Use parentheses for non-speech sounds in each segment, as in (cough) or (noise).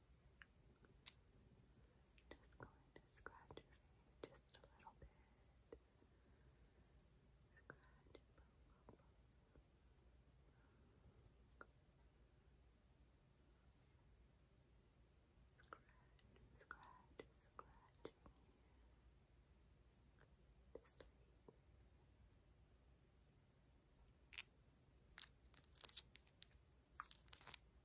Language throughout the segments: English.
Just going to scratch your face just a little bit. Scratch, boom, boom, boom. Scratch, scratch, scratch. To sleep. Good.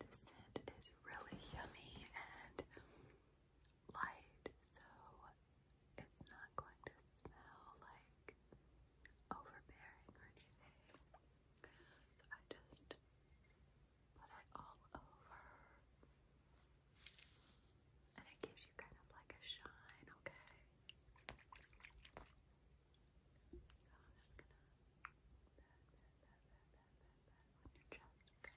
This scent is really yummy and light, so it's not going to smell like overbearing or anything. I just put it all over. And it gives you kind of like a shine, okay? So I'm just gonna pat, pat, pat, pat, pat, pat, on your chest, okay?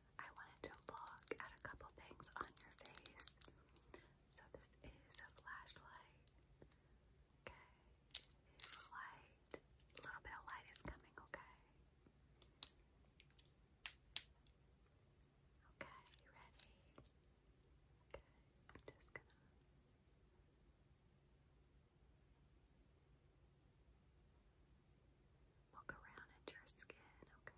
I wanted to look at a couple things on your face. So this is a flashlight. Okay. light. A little bit of light is coming, okay? Okay, ready? Okay, I'm just gonna Look around at your skin, okay?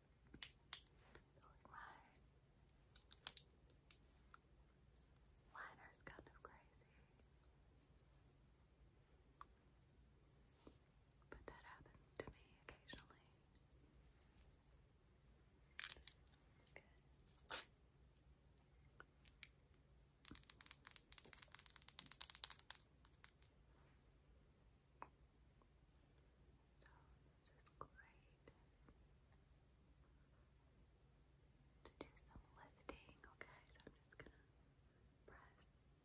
Mine. Mine kind of crazy. But that happens to me occasionally. So this is great to do some lifting, okay? So I'm just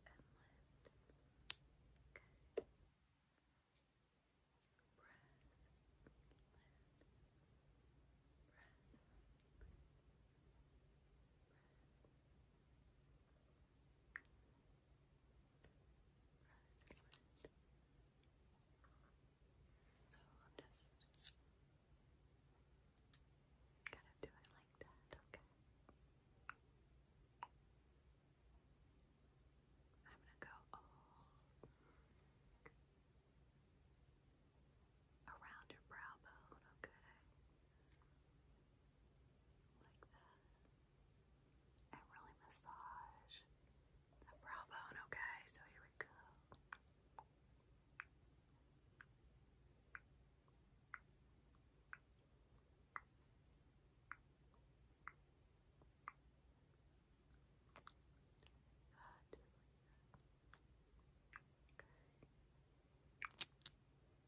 gonna press and lift. Okay. Press, lift, press, press. So I'm just kind of do it like that, okay? I'm gonna go around your brow bone, okay? Like that and really massage the brow bone, okay? So here we go. Good, just like that. Okay.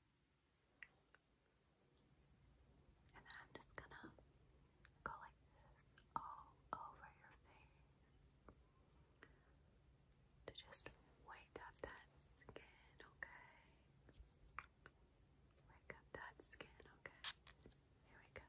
And then I'm just gonna go like all over your face to just wake up that skin, okay? Wake up that skin, okay? Here we go.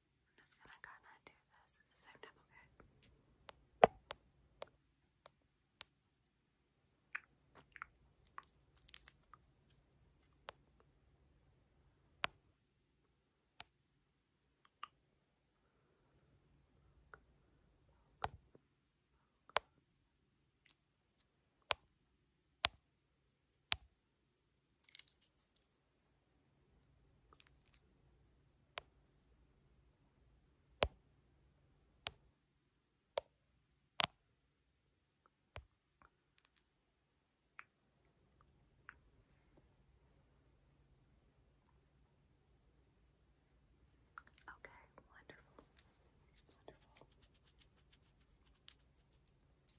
I'm just gonna do this at the same time, Okay. Okay, wonderful. Wonderful.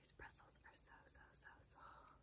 These bristles are so, so, so soft.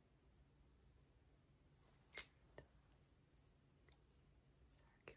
Circular motion. Okay. Okay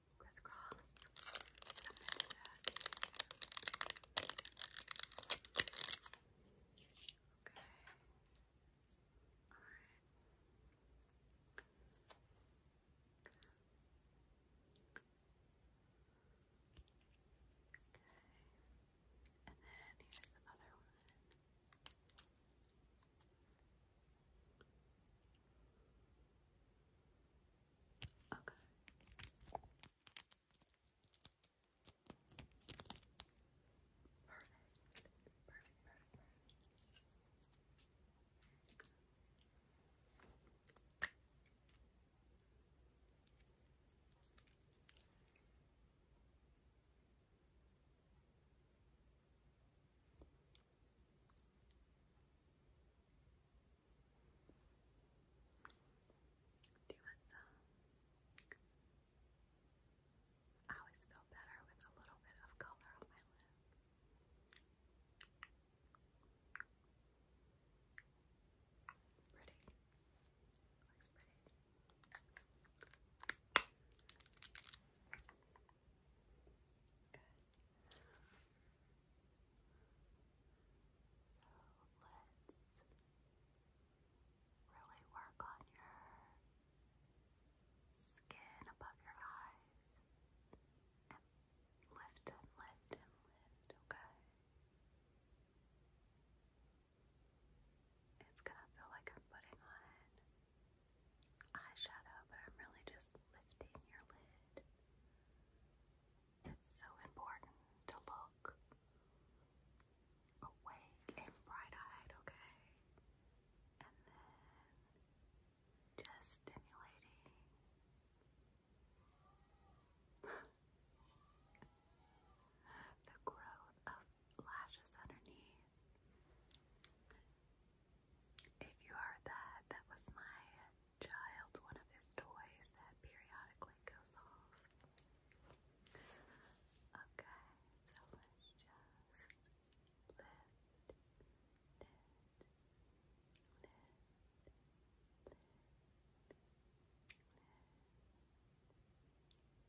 crisscross. And I'm gonna do that. Okay. Alright. Okay. And then here's the other one. Okay. Okay. Perfect. Perfect, perfect, perfect. I always feel better with a little bit of color on my lip. Pretty. Looks pretty. Good. So let's really work on your skin above your eyes and lift and lift and lift, okay? It's gonna feel like I'm putting on eyeshadow, but I'm really just lifting your lid. It's so important to look awake and bright-eyed, okay? And then just stimulating. (laughs) the growth of lashes underneath. If you heard that, that was my child's one of his toys that periodically goes off. Okay, so let's just lift, lift, lift, lift, lift.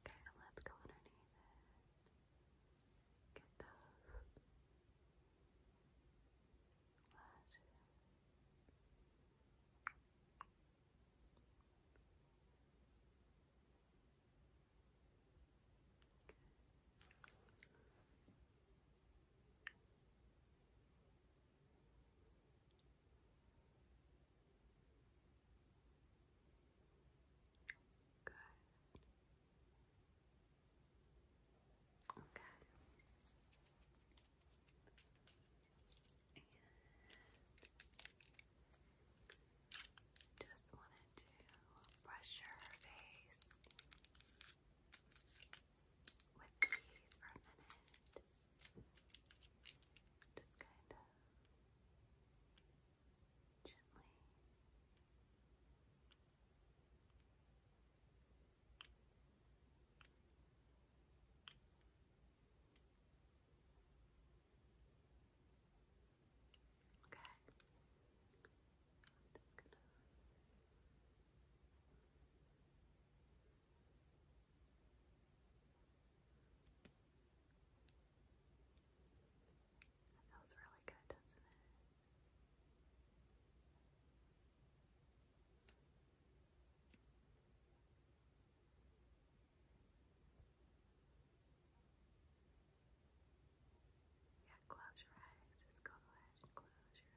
Okay, and let's go underneath Get those lashes. Good. Okay. just wanted to brush your face with these for a minute. Just kind of gently. Okay. I'm just gonna feels really good, doesn't it? Yeah, close your eyes. Just go ahead and close your eyes.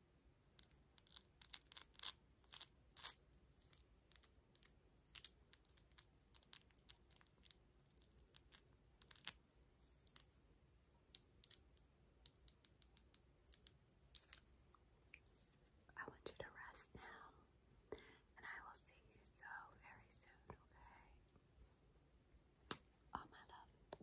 I want you to rest now, and I will see you so very soon, okay? All my love.